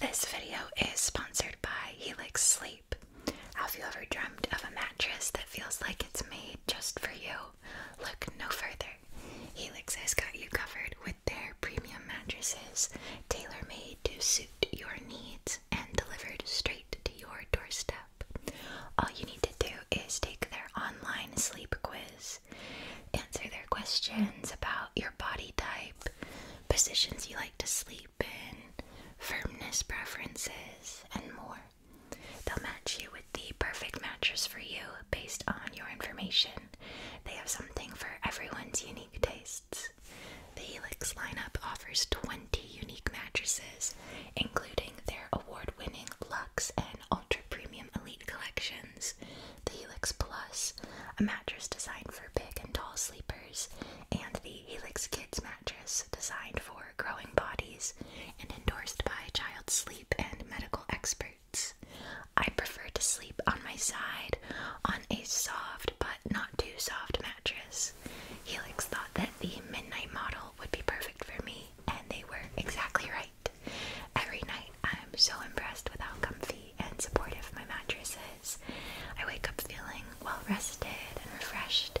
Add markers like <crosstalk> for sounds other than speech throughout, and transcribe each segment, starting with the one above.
This video is sponsored by Helix Sleep. Have you ever dreamt of a mattress that feels like it's made just for you? Look no further. Helix has got you covered with their premium mattresses, tailor made to suit your needs and delivered straight to your doorstep. All you need to do is take their online sleep quiz, answer their questions about your body type positions you like to sleep in, firmness preferences, and more. They'll match you with the perfect mattress for you based on your information. They have something for everyone's unique tastes. The Helix lineup offers 20 unique mattresses, including their award winning Lux and Ultra Premium Elite collections. The Helix Plus, a mattress designed for big and tall sleepers and the Helix Kids mattress designed for growing bodies and endorsed by child sleep and medical experts. I prefer to sleep on my side on a soft but not too soft mattress. Helix thought that the midnight model would be perfect for me, and they were exactly right. Every night I'm so impressed with how comfy and supportive my mattress is. I wake up feeling well rested and refreshed,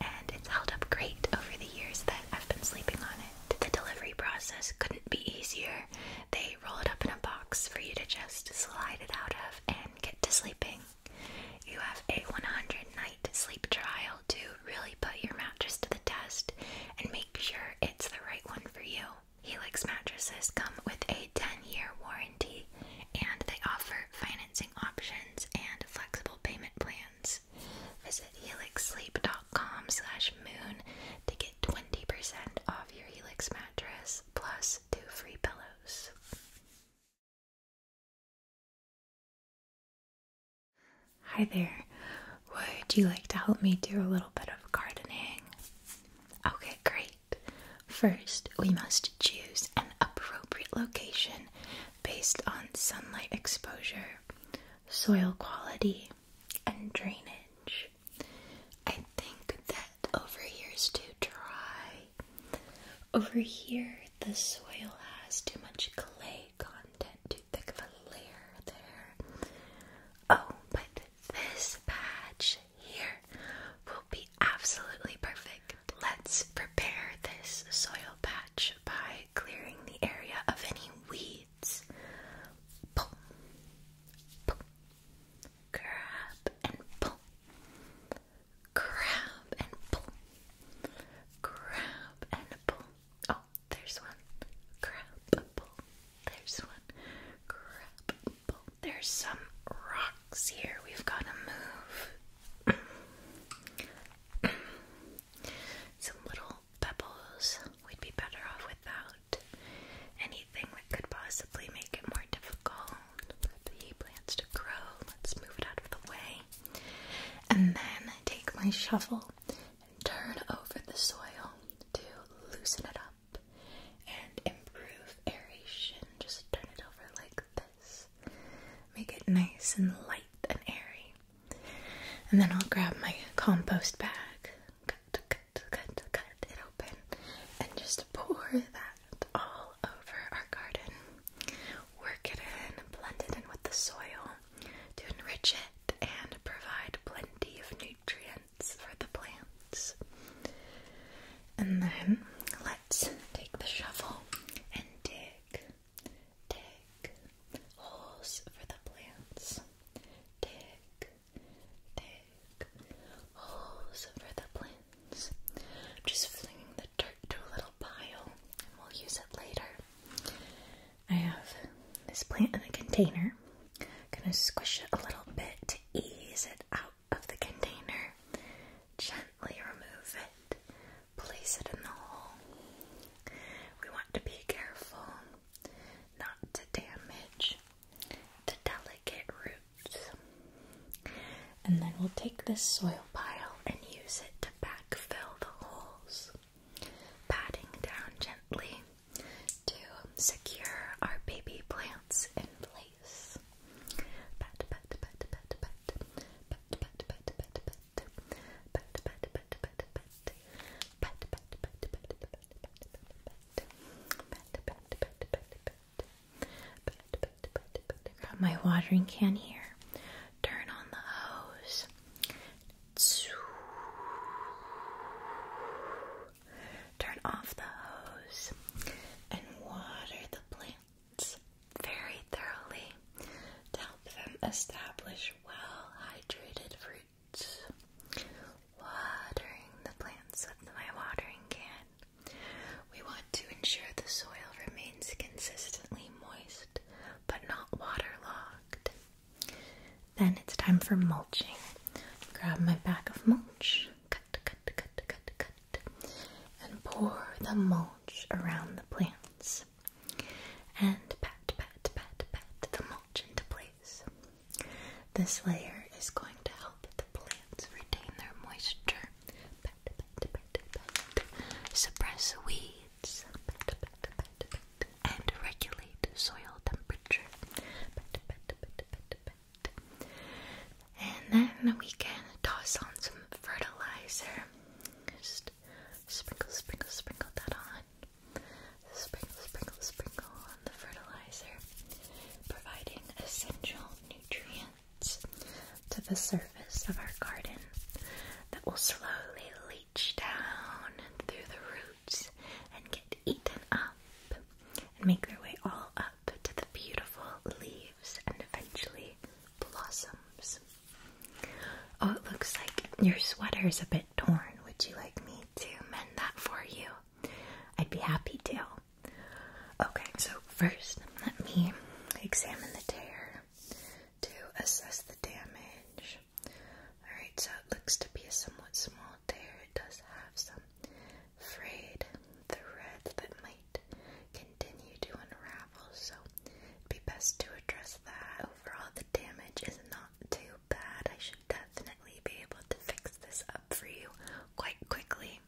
and it's held up great over the years that I've been sleeping on it. The delivery process couldn't be easier. They roll it up in a box for you to just slide it out of and get to sleeping. You have a 100 night sleep trial to really put your mattress to the test and make sure it's the right one for you. Helix mattresses come with a 10-year warranty and they offer financing options and flexible payment plans. Visit helixsleep.com slash moon to get 20% off your Helix mattress plus two free pillows. Hi there. Would you like to help me do a little bit of gardening? Okay, great. First, we must choose an appropriate location based on sunlight exposure, soil quality, and drainage. I think that over here is too dry. Over here, the soil has too much clay content, too thick of a layer there. Oh, but this patch here will be absolutely perfect. Let's prepare this soil patch by clearing the area of any weeds. Pull, pull, grab and pull, grab and pull, grab and pull. Oh, there's one. Grab, pull. There's one. Grab, there's some rocks here we've got to move. some little pebbles we'd be better off without. Anything that could possibly make it more difficult the plants to grow. Let's move it out of the way. And then take my shovel and turn over the soil to loosen it up and improve aeration. Just turn it over like this. Make it nice and light and airy. And then I'll grab my compost bag, cut, cut, cut, cut it open, and just pour that all over our garden. Work it in, blend it in with the soil to enrich it and provide plenty of nutrients for the plants. And then let's take the shovel and dig, dig holes for the plants. Dig, dig holes for the plants. I'm just flinging the dirt to a little pile and we'll use it later. I have this plant in a container. I'm gonna squish it a little bit to ease it out of the container, gently remove it, place it in the hole. We want to be careful not to damage the delicate roots. And then we'll take this soil pile and use it to backfill the holes, patting down gently to secure our baby plants in place face. my watering can here. Turn on the hose. Turn off the hose and water the plants very thoroughly to help them establish well hydrated roots. Watering the plants with my watering can. We want to ensure the soil remains consistently moist but not waterlogged. Then it's time for mulching. Grab my bag of mulch. Cut, cut, cut, cut, cut, and pour the mulch around the plants. And pat, pat, pat, pat the mulch into place. This layer is going to help the plants retain their moisture. Suppress weeds. And regulate soil temperature. And then we can toss on some fertilizer. Just sprinkle, sprinkle, sprinkle that on. Sprinkle, sprinkle, sprinkle on the fertilizer, providing essential nutrients to the surface of our garden that will slowly leach down through the roots and get eaten up and make their way all up to the beautiful leaves and eventually blossoms. Oh, it looks like your sweater is a bit torn. Would you like me to mend that for you? I'd be happy to. Okay, so first let me examine the tear to assess the damage. Alright, so it looks to be a somewhat small tear. It does have some frayed threads that might continue to unravel, so it'd be best to address that. Overall, the damage is not too bad. I should definitely be able to fix this up for you quite quickly.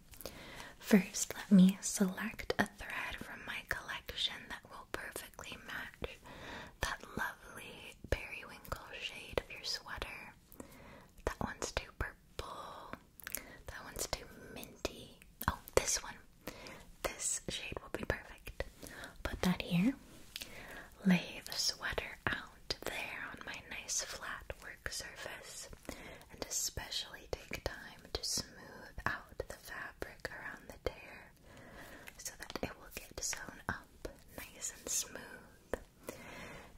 First, let me select a thread from my collection that will perfectly match that lovely periwinkle shade of your sweater. That one's too purple. That one's too minty. Oh, this one. This shade will be perfect. Put that here. Lay the sweater out there on my nice flat work surface. And especially take time to smooth out the fabric around the tear so that it will get sewn up nice and smooth.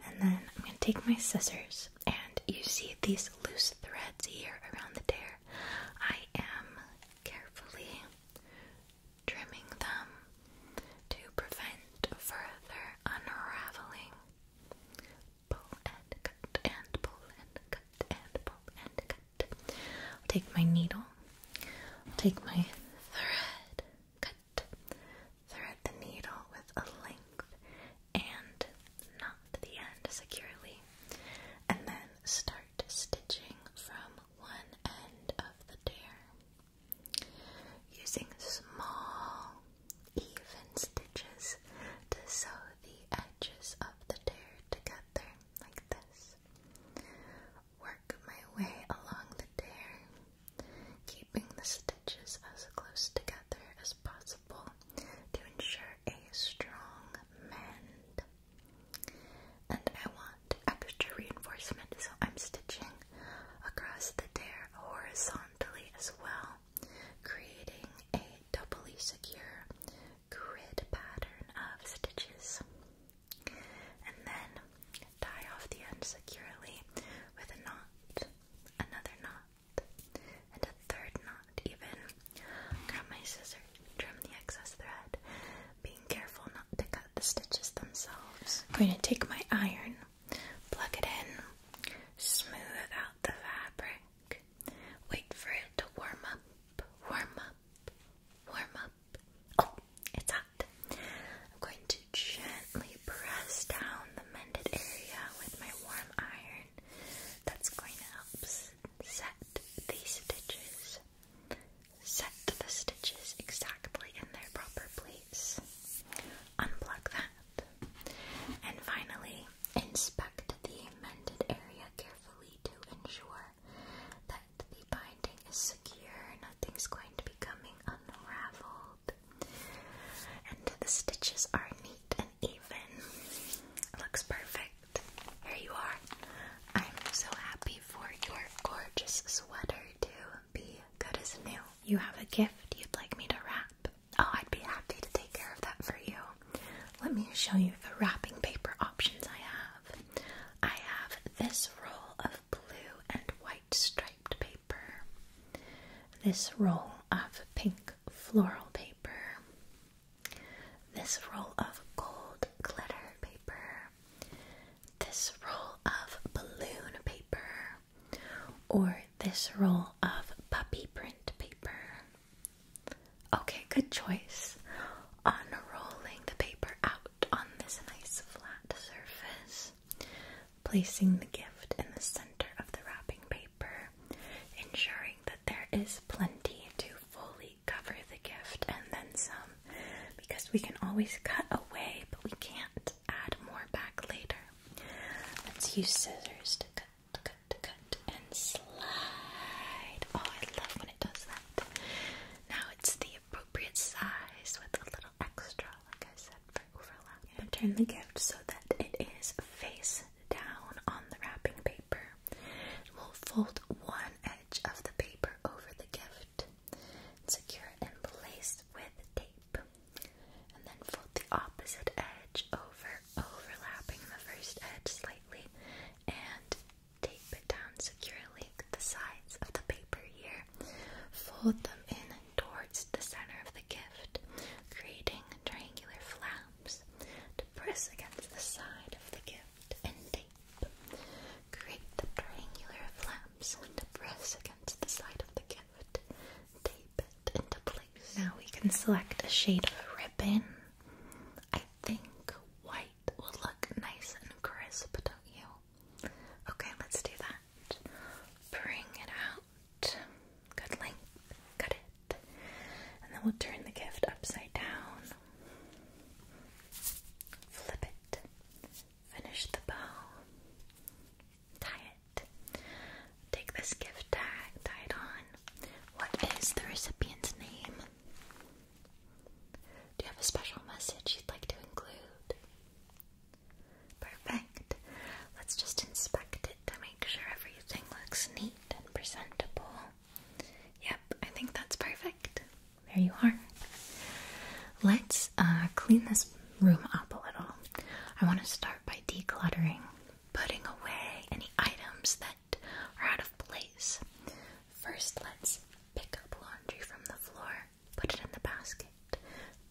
And then I'm going to take my scissors, and you see these loose threads here around the tear. I am carefully trimming them to prevent further unraveling. Pull and cut, and pull and cut, and pull and cut. I'll take my needle, I'll take my thread, cut, thread the needle with a length and knot the end securely, and then start stitching from one end of the tear. Using small, even stitches to sew the edges of the tear together, like this. Work my way along the tear, keeping the stitches as close together as possible to ensure a strong mend. And I want extra reinforcement, so I'm stitching across the tear horizontally as well, creating a doubly secure grid pattern of stitches. And then tie off the end securely with a knot, another knot and a third knot even. Grab my scissors, trim the excess thread, being careful not to cut the stitches themselves. I'm going to take my iron, plug it in, smooth out the fabric, wait for it to warm up, warm up, warm up. Oh, it's hot. I'm going to gently press down the mended area with my warm iron that's going to help set the stitches, set the stitches exactly in their proper place. Unplug that. And finally, inspect the mended area carefully to ensure that the binding is secure, nothing's going to be coming unraveled, and the stitches are neat even. looks perfect. Here you are. I'm so happy for your gorgeous sweater to be good as new. You have a gift you'd like me to wrap. Oh, I'd be happy to take care of that for you. Let me show you the wrapping paper options I have. I have this roll of blue and white striped paper. This roll of pink floral paper, this roll of gold glitter paper, this roll of balloon paper, or this roll of puppy print paper. Okay, good choice. Unrolling the paper out on this nice flat surface, placing the gift in the center of the wrapping paper ensuring that there is plenty to fully cover the gift and then some, because we can always cut away, but we can't add more back later. Let's use scissors to cut, cut, cut, and slide. Oh, I love when it does that. Now it's the appropriate size with a little extra, like I said turn the gift so that it is face down on the wrapping paper. We'll fold one edge of the paper over the gift secure it in place with tape. And then fold the opposite edge over, overlapping the first edge slightly, and tape it down securely. The sides of the paper here. Fold them in towards the center of the gift, creating triangular flaps to press against the side of the gift and tape. Create the triangular flaps to press against the side of the gift. Tape it into place. Now we can select a shade of ribbon. I think white will look nice and crisp, don't you? Okay, let's do that. Bring it out out. Good length. Cut it. And then we'll turn the gift upside down. Flip it. Finish the bow. Tie it. Take this gift tag, tie it on. What is the recipient's name? Do you have a special message you'd like to include? Perfect. Let's just inspect it to make sure everything looks neat and presentable. Yep, I think that's perfect. There you are. Let's uh, clean this room up a little. I want to start by decluttering, putting away any items that are out of place. First, let's pick up laundry from the floor, put it in the basket,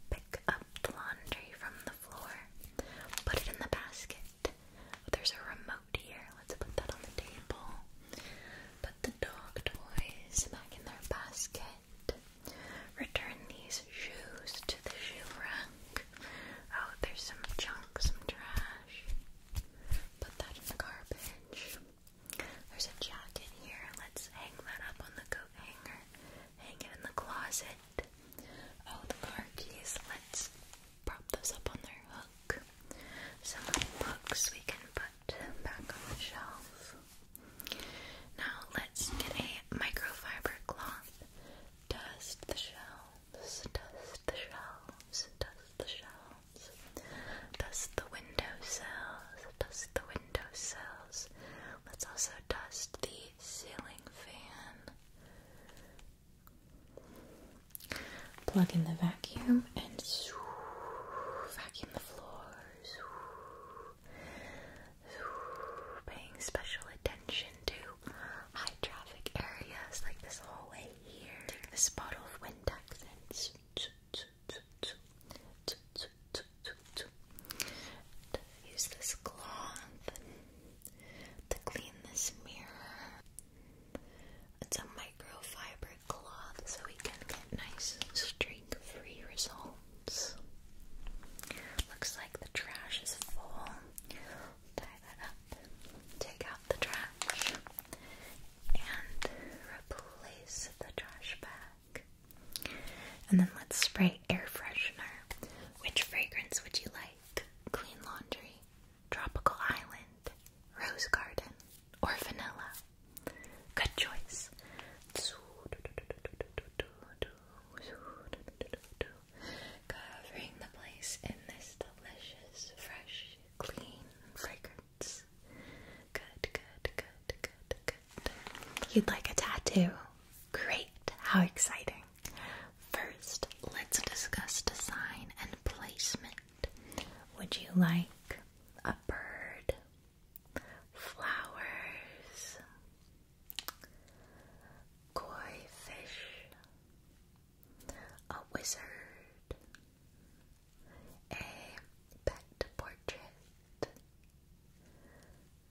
pick up the laundry from the. Put it in the basket. There's a remote here. Let's put that on the table. Put the dog toys back in their basket. Return these shoes to the shoe rack. Oh, there's some junk, some trash. Put that in the garbage. There's a jacket here. Let's hang that up on the coat hanger. Hang it in the closet. Oh, the car keys. Let's prop those up on their hook. Some books we can put back on the shelf. Now let's get a microfiber cloth. Dust the shelves, dust the shelves, dust the shelves, dust the windowsills, dust the windowsills. Let's also dust the ceiling fan. Plug in the vacuum and shoo, vacuum the floor. paying special attention to high traffic areas like this hallway here. Take this bottle of Windex Use this cloth to clean this mirror. It's a microfiber cloth so we can get nice streak free results. Looks like the trash is full. Tie that up, take out the trash, and replace the trash bag. And then let's spray air freshener. Which fragrance would you like? clean laundry, tropical island, rose garden, or vanilla. Good choice. Covering the place in this delicious, fresh, clean fragrance. Good, good, good, good, good. You'd like a tattoo. Great. How exciting. First, let's discuss design and placement. Would you like a bird? Flowers? Koi fish? A wizard? A pet portrait?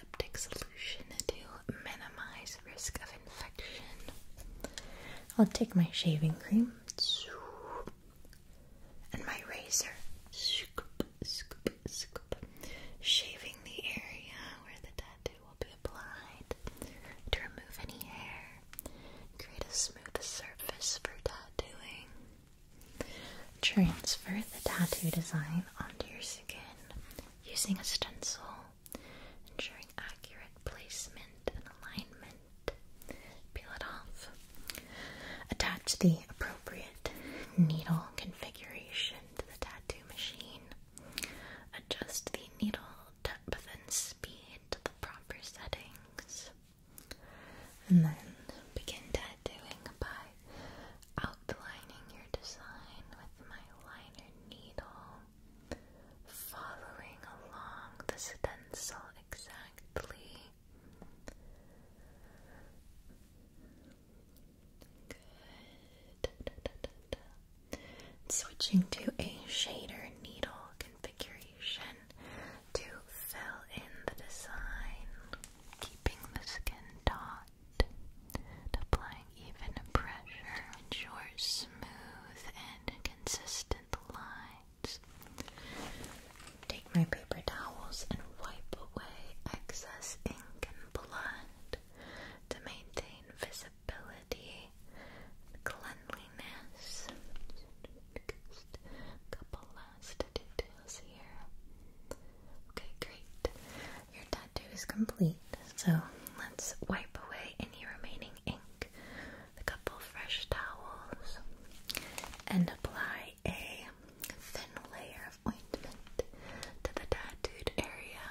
antiseptic solution to minimize risk of infection. I'll take my shaving cream and my razor. Shaving the area where the tattoo will be applied to remove any hair. Create a smooth surface for tattooing. Transfer the tattoo design onto your skin using a stencil ensuring accurate placement and alignment. Peel it off. Attach the appropriate needle configuration to the tattoo machine. Adjust the needle depth and speed to the proper settings. And then begin tattooing by outlining your design with my liner needle, following along the stencil exactly. Good. Switching to a shader needle configuration to fill in the design, keeping the skin taut. Applying even pressure ensures smooth and consistent lines. Take my paper towels and wipe away excess ink and blood to maintain visibility and cleanliness. couple last details here. Okay, great. Your that too is complete. So let's wipe away any remaining ink with a couple fresh towels and apply a thin layer of ointment to the tattooed area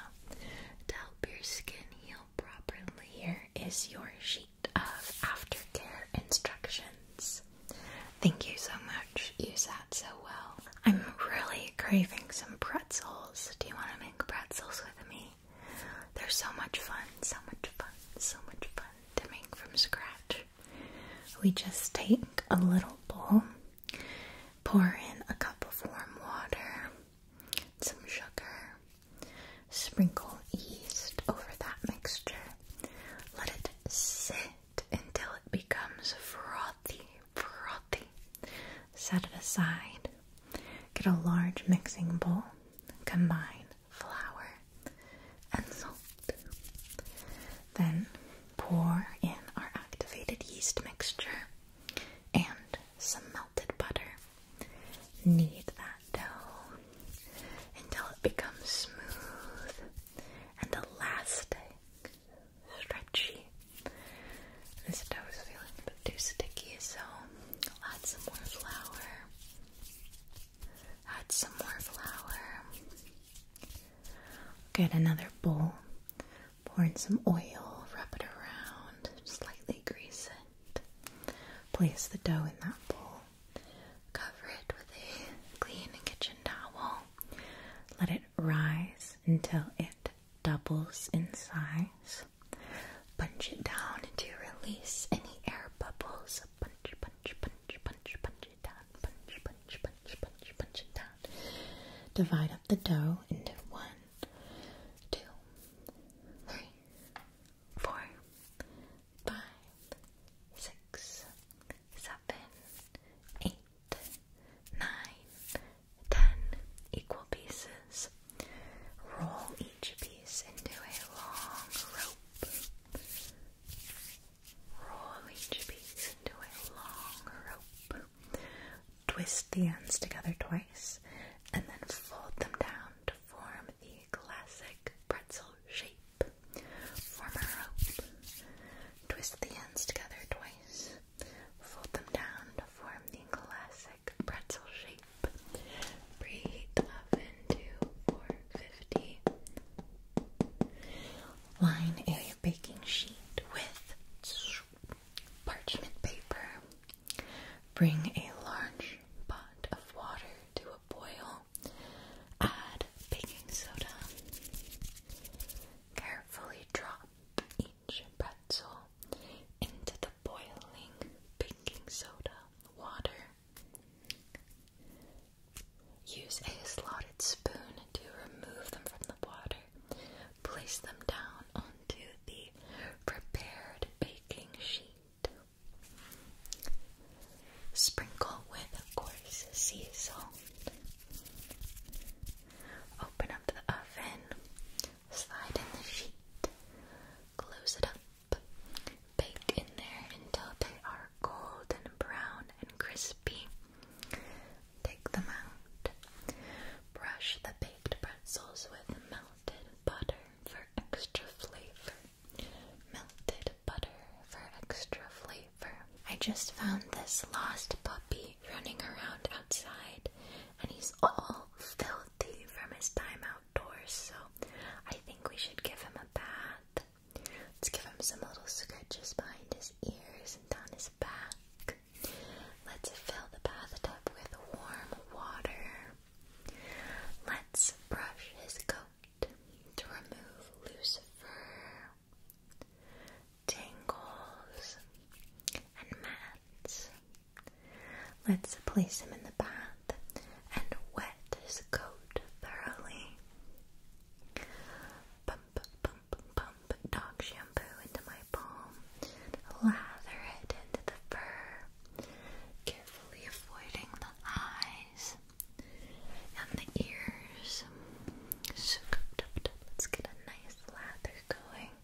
to help your skin heal properly. Here is your sheet of aftercare instructions. Thank you so much. You sat so well. I'm really craving some pretzels. Do you want to make pretzels with me? They're so much fun, so much fun, so much fun to make from scratch. We just take a little bowl, pour in a cup of warm water, some sugar, sprinkle yeast over that mixture, let it sit until it becomes frothy, frothy. Set it aside. Get a large mixing bowl. Combine flour and salt. Then pour in our activated yeast mixture and some melted butter. Knead that dough until it becomes smooth and elastic stretchy. This dough was feeling a bit too sticky, so I'll add some more flour. Add some more flour. Get another bowl. Pour in some oil, Wrap it around, slightly grease it. Place the dough in that bowl. Cover it with a clean kitchen towel. Let it rise until it doubles in size. Punch it down to release any air bubbles. Punch, punch, punch, punch, punch it down. Punch, punch, punch, punch, punch it down. Divide up the dough into one, two, three, four, five, six, seven, eight, nine. 10 equal pieces. Roll each piece into a long rope. Roll each piece into a long rope. Twist the ends together twice and then fold them down to form the classic pretzel shape. Form rope. Twist the ends together twice Fold them down to form the classic pretzel shape. Preheat the oven to 450. Line a baking sheet with parchment paper. Bring a large pot of water to a boil. Add baking soda. Carefully drop each pretzel into the boiling baking soda water. Use a slotted spoon to remove them from the water. Place them down onto the prepared baking sheet. Sprinkle with coarse sea salt. Open up the oven slide in the sheet, close it up, bake in there until they are golden brown and crispy. Take them out. Brush the baked pretzels with melted butter for extra flavor. Melted butter for extra flavor. I just found this lost puppy running around outside, and he's all filthy from his time outdoors. So I think we should give him a bath. Let's give him some little scratches behind his ears and down his back. Let's fill the bathtub with warm water. Let's brush his coat to remove loose fur, tingles, and mats. Let's place him in the bath and wet his coat thoroughly. Pump, pump, pump dog shampoo into my palm. Lather it into the fur, carefully avoiding the eyes and the ears. let's get a nice lather going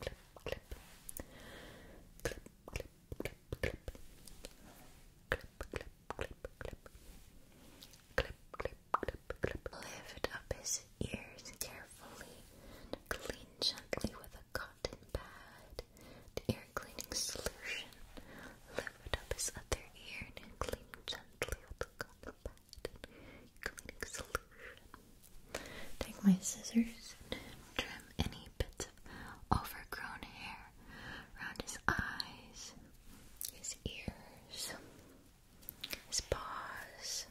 clip, clip, clip, clip, clip, clip, clip, clip, clip, clip, clip, clip, clip, clip. Lift up his ears carefully and clean gently with a cotton pad. The ear cleaning solution. Lift up his other ear and clean gently with a cotton pad. Cleaning solution. Take my scissors and trim any bits of overgrown hair around his eyes, his ears, his paws.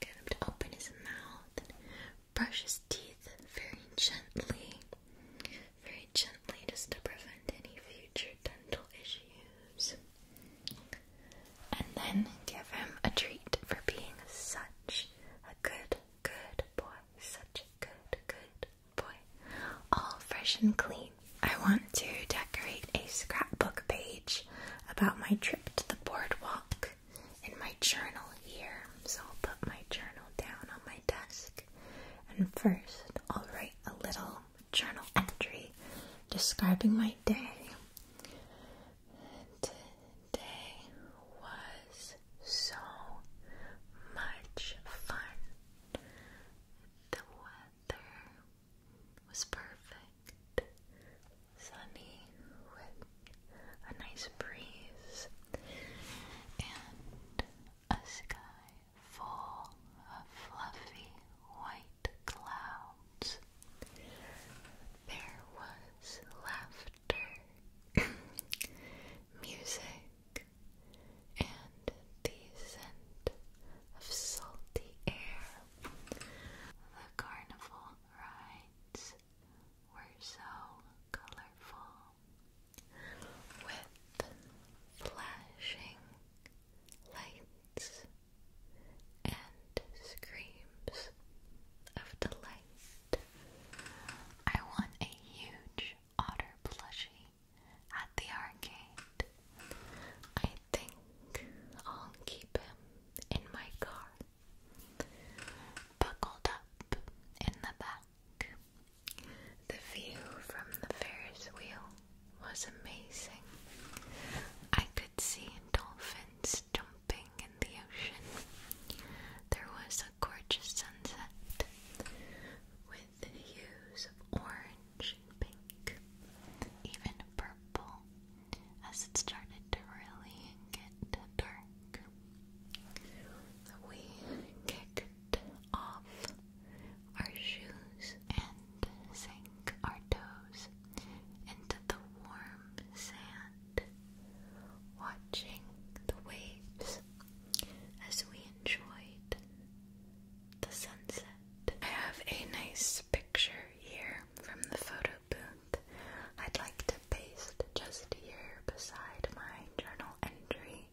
Get him to open his mouth and brush his teeth very gently very gently just to prevent any future dental issues. And then give him a treat for being such a good, good boy. Such a good, good boy. All fresh and clean. I want to decorate a scrapbook page about my trip to the boardwalk in my journal here. So I'll put my journal down on my desk and first, I'll write a little journal entry describing my day. Today was so much fun. The weather was perfect, sunny with a nice breeze, and a sky full of fluffy white clouds. There was laughter, <coughs> music, and the scent of salty air. The carnival rides were so colorful with flashing lights and screams of delight. I want a huge otter plushie at the arcade. I think I'll keep him in my car, buckled up in the back. The view from the Ferris wheel was amazing. I could see dolphins jumping in the ocean. There was a gorgeous sunset with hues of orange and pink, even purple, as it started to really get dark. We kicked off our shoes and sink our toes into the warm sand, watching the waves as we enjoyed the sunset. I have a nice picture here from the photo booth. I'd like to paste just here beside my journal entry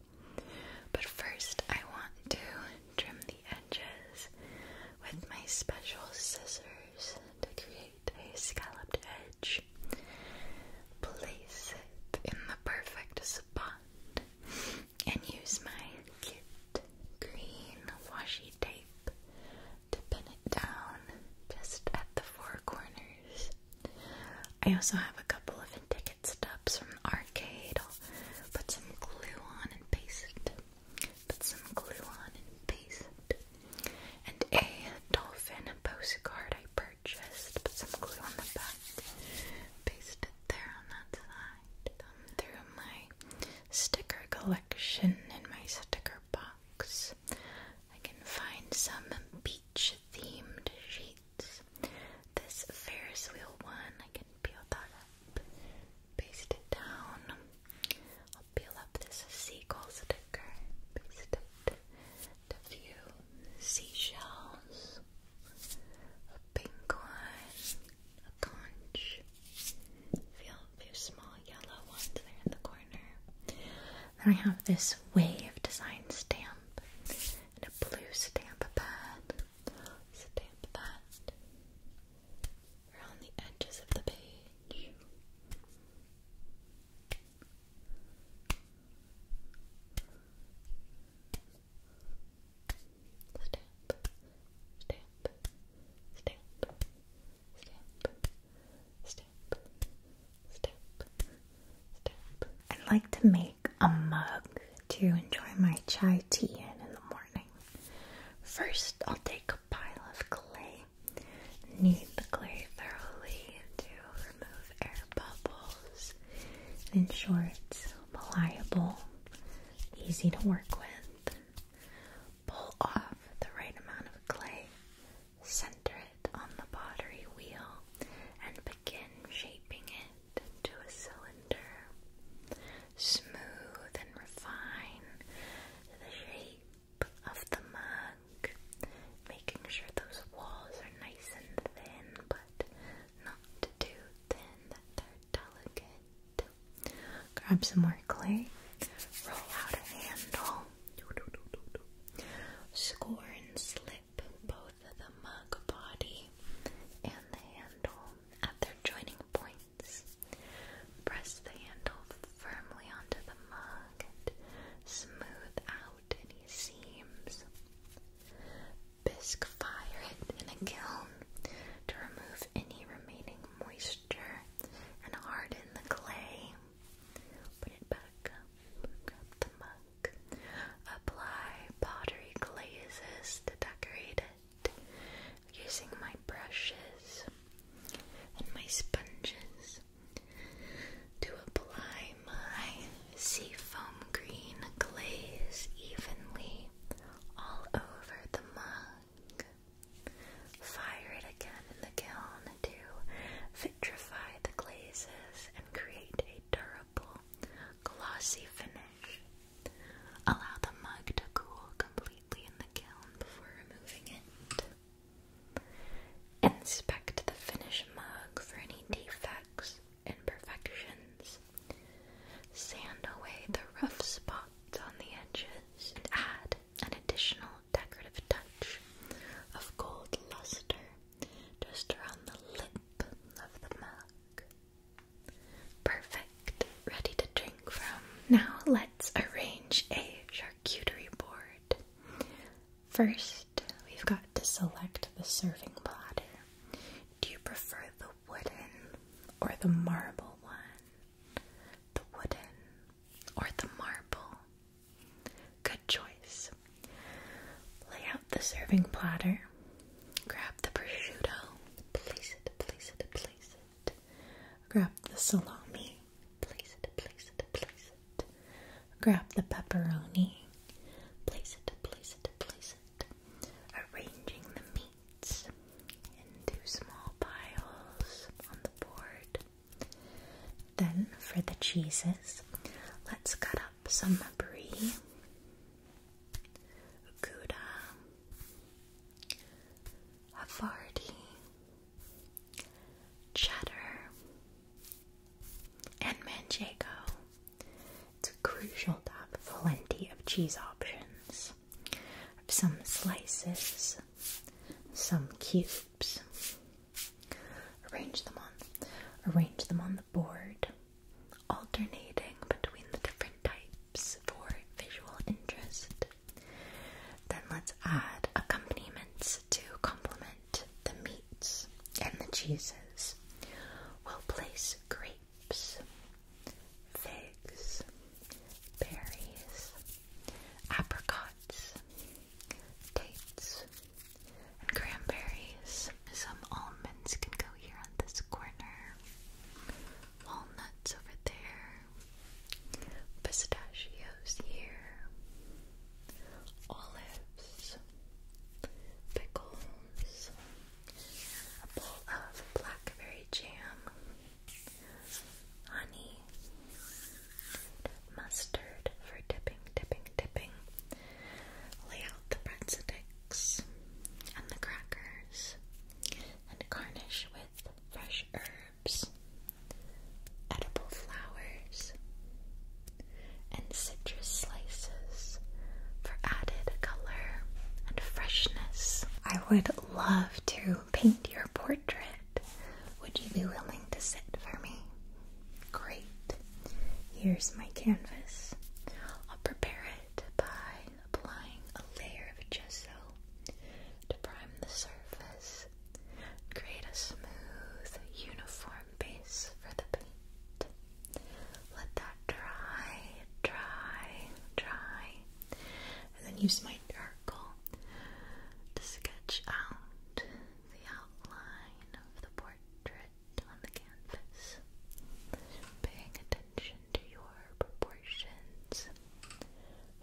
but first, I want to trim the edges with my special scissors to create a scalloped edge. Place it in the perfect spot and use my kit green washi tape to pin it down just at the four corners. I also have a couple of even ticket stubs from arcade. I'll put some glue on and paste it. Put some glue on and paste it. And a dolphin postcard I purchased. Put some glue on the back. Paste it there on that side. through my sticker collection in my sticker box. I can find some beach themed sheets plates. This Ferris wheel one, I can peel that up, paste it down. I'll peel up this seagull sticker, paste it to view seashells, a penguin, a conch, feel a few small yellow ones there in the corner. Then I have this wave design stamp and a blue stamp pad stamp that around the edges of the page. Stamp, stamp, stamp, stamp, stamp, stamp, I'd like to make a mug to enjoy my chai tea in in the morning. First, I'll take a pile of clay. Knead the clay thoroughly to remove air bubbles and ensure it's pliable, easy to work with. Pull off the right amount of clay, center it on the pottery wheel, and shaping it into a cylinder. Smooth and refine the shape of the mug, making sure those walls are nice and thin, but not too thin that they're delicate. Grab some more clay, roll out a handle, score and slit grip both the mug body and the handle at their joining points. Press the handle firmly onto the mug and smooth out any seams. Bisque fire it in a kiln to remove any remaining moisture and harden the clay. Put it back up, grab the mug. Apply pottery glazes to decorate it using my brushes and my sponges to apply my seafoam green glaze evenly all over the mug. Fire it again in the kiln to vitrify the glazes and create a durable glossy finish. Allow the mug to cool completely in the kiln before removing it. Inspect the finished mug for any defects, imperfections. Sand away the rough spots on the edges and add an additional decorative touch of gold luster just around the lip of the mug. Perfect, ready to drink from. Now let's arrange a charcuterie board. First, we've got to select the serving platter. Do you prefer the wooden or the marble one? The wooden or the marble? Good choice. Lay out the serving platter Grab the prosciutto, place it, place it, place it. Grab the salami, place it, place it, place it. Grab the pepperoni, place it, place it, place it. Arranging the meats into small piles on the board. Then for the cheeses, let's cut up some brie. Gouda, Havarti, Cheddar, and Manchego. It's crucial to have plenty of cheese options. Some slices, some cubes. Arrange them on arrange them on the board alternating between the different types for visual interest. Then let's add accompaniments to complement the meats and the cheeses. We'll place grapes, figs, berries, apricots, dates, and cranberries some almonds can go here on this corner. Walnuts over there. Pistachios here. Olives. Pickles. A bowl of blackberry jam. Honey. Mustard for dipping, dipping, dipping. Lay out the breadsticks and the crackers and garnish with fresh herbs, edible flowers, and citrus slices for added color and freshness. I would love to paint your portrait. Would you be willing to sit for me? Great. Here's my canvas. I'll prepare it it by applying a layer of gesso to prime the surface, create a smooth, uniform base for the paint. Let that dry, dry, dry, and then use my charcoal to sketch out the outline of the portrait on the canvas. Paying attention to your proportions,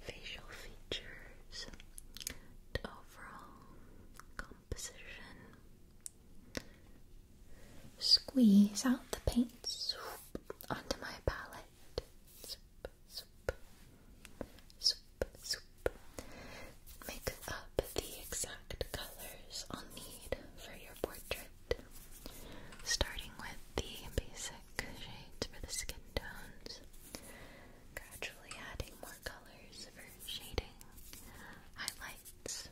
facial features, to overall composition. Squeeze out the paint onto my palette. Make up the exact colors I'll need for your portrait. Starting with the basic shades for the skin tones, gradually adding more colors for shading, highlights,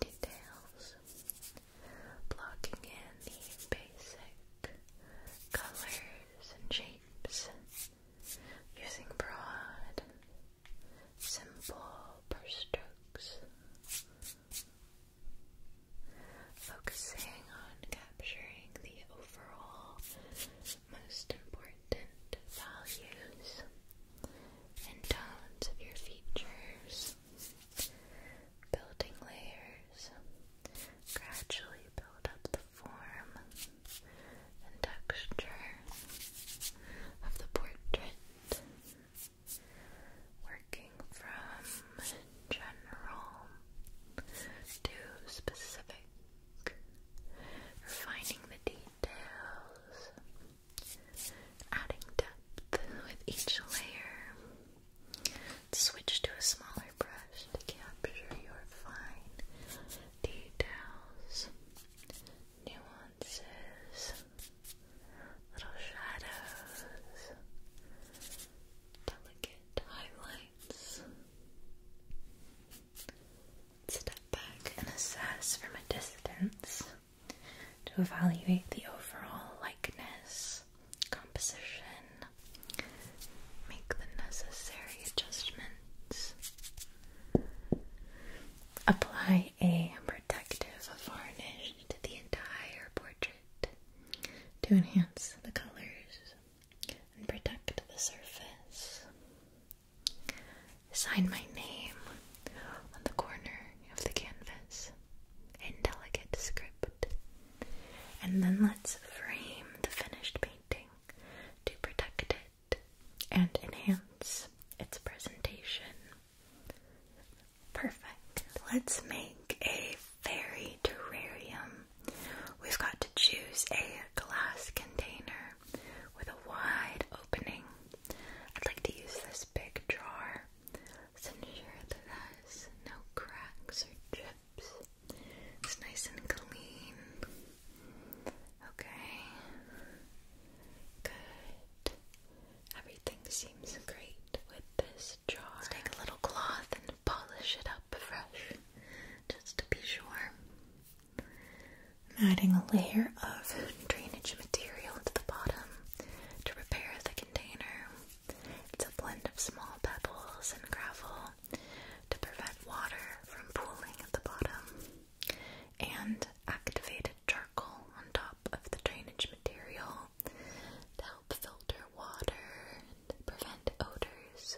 details, blocking in the basic colors and shapes, using broad simple brush strokes, focusing on capturing the overall most important values and tones of your features, building layers, gradually build up the form and texture of the portrait working from general to specific, refining the details, adding depth with each layer. Switch to a smaller brush to capture your fine details, nuances little shadows, delicate highlights. Step back and assess from a distance to evaluate the overall likeness, composition, make the necessary adjustments. Apply a protective varnish to the entire portrait to enhance the colors and protect the surface. Sign my name on the corner of the canvas in delicate script. And then let's frame the finished painting to protect it and enhance its presentation. Perfect. Let's make a fairy terrarium. We've got to choose a glass container with a wide opening. I'd like to use this big jar. Let's ensure that it has no cracks or chips. It's nice and clean. Okay. Good. Everything seems great with this jar. let a little cloth and polish it up fresh, just to be sure. I'm adding a layer of drainage material to the bottom to repair the container. It's a blend of small pebbles and gravel to prevent water from pooling at the bottom and activated charcoal on top of the drainage material to help filter water and prevent odors.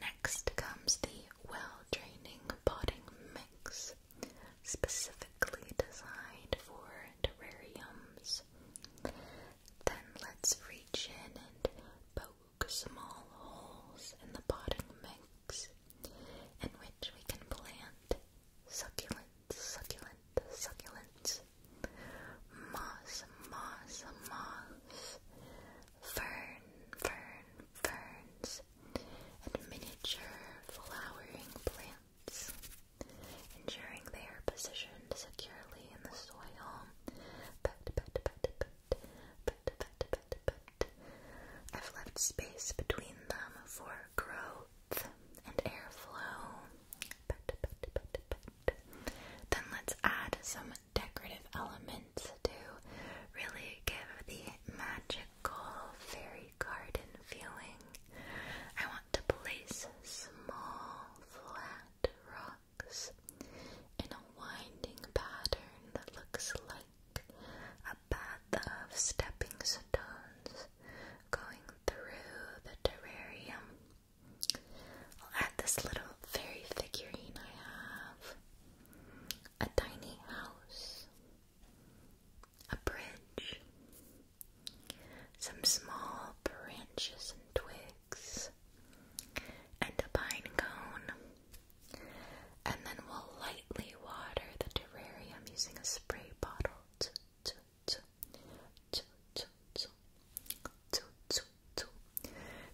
Next comes the well draining potting mix, specifically designed for terrariums. Then let's reach in and poke small holes in the potting mix in which we can plant succulent, succulent, succulent, moss, moss, moss, fern, fern, ferns, and miniature flowering plants, ensuring they are positioned securely in the soil. But, but, but, but, but, but, but, but, I've left space between them for growth and airflow. Pet, Then let's add some decorative elements to really give the magical fairy garden feeling. I want to place small flat rocks in a winding pattern that looks like a path of stepping stones going through the terrarium. I'll add this little fairy figurine I have, a tiny house, a bridge, some small branches and twigs, and a pine cone. And then we'll lightly water the terrarium using a spray bottle.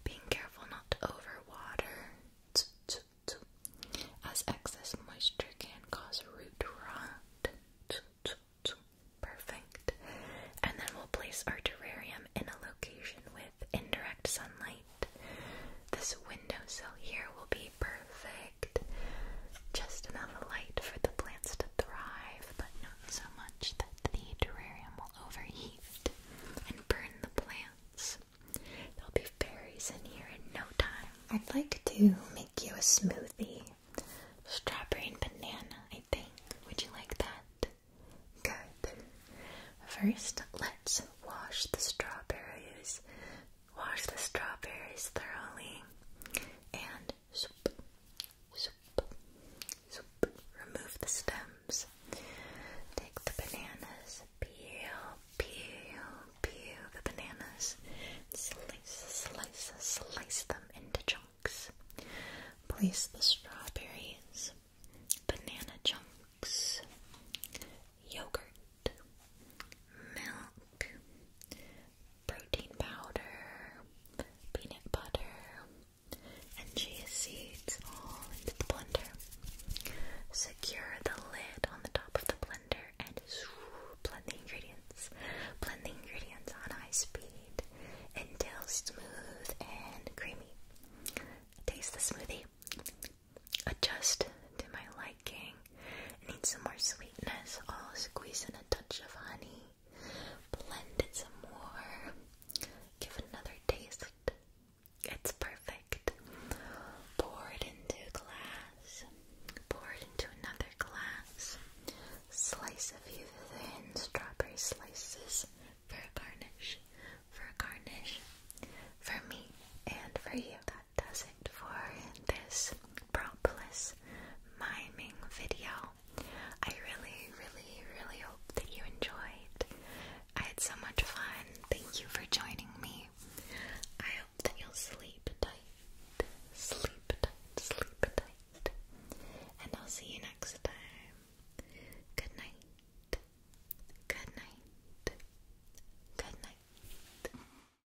Being careful not to overwater, as excess moisture can cause root rot. Perfect. And then we'll place our terrarium in a location with indirect sunlight. This windowsill here will be perfect perfect. Just enough light for the plants to thrive, but not so much that the terrarium will overheat and burn the plants. There'll be berries in here in no time. I'd like to make you a smoothie. Strawberry and banana, I think. Would you like that? Good. First, let's wash the strawberries Wash the strawberries thoroughly and remove the stems. Take the bananas, peel, peel, peel the bananas, slice, slice, slice them into chunks. Place the strawberries, banana chunks, yogurt milk, protein powder, peanut butter, and chia seeds all into the blender. Secure the lid on the top of the blender and <sighs> blend the ingredients. Blend the ingredients on high speed until smooth and creamy. Taste the smoothie. Adjust to my liking it some more sweetness. I'll oh, squeeze in a touch of honey. Blend it some more. Give another taste. It's perfect. Pour it into glass. Pour it into another glass. Slice a few thin strawberry slices for a garnish. For a garnish. For me and for you does it for this Propolis miming video. I really, really, really hope that you enjoyed. I had so much fun. Thank you for joining me. I hope that you'll sleep tight, sleep tight, sleep tight. And I'll see you next time. Good night. Good night. Good night.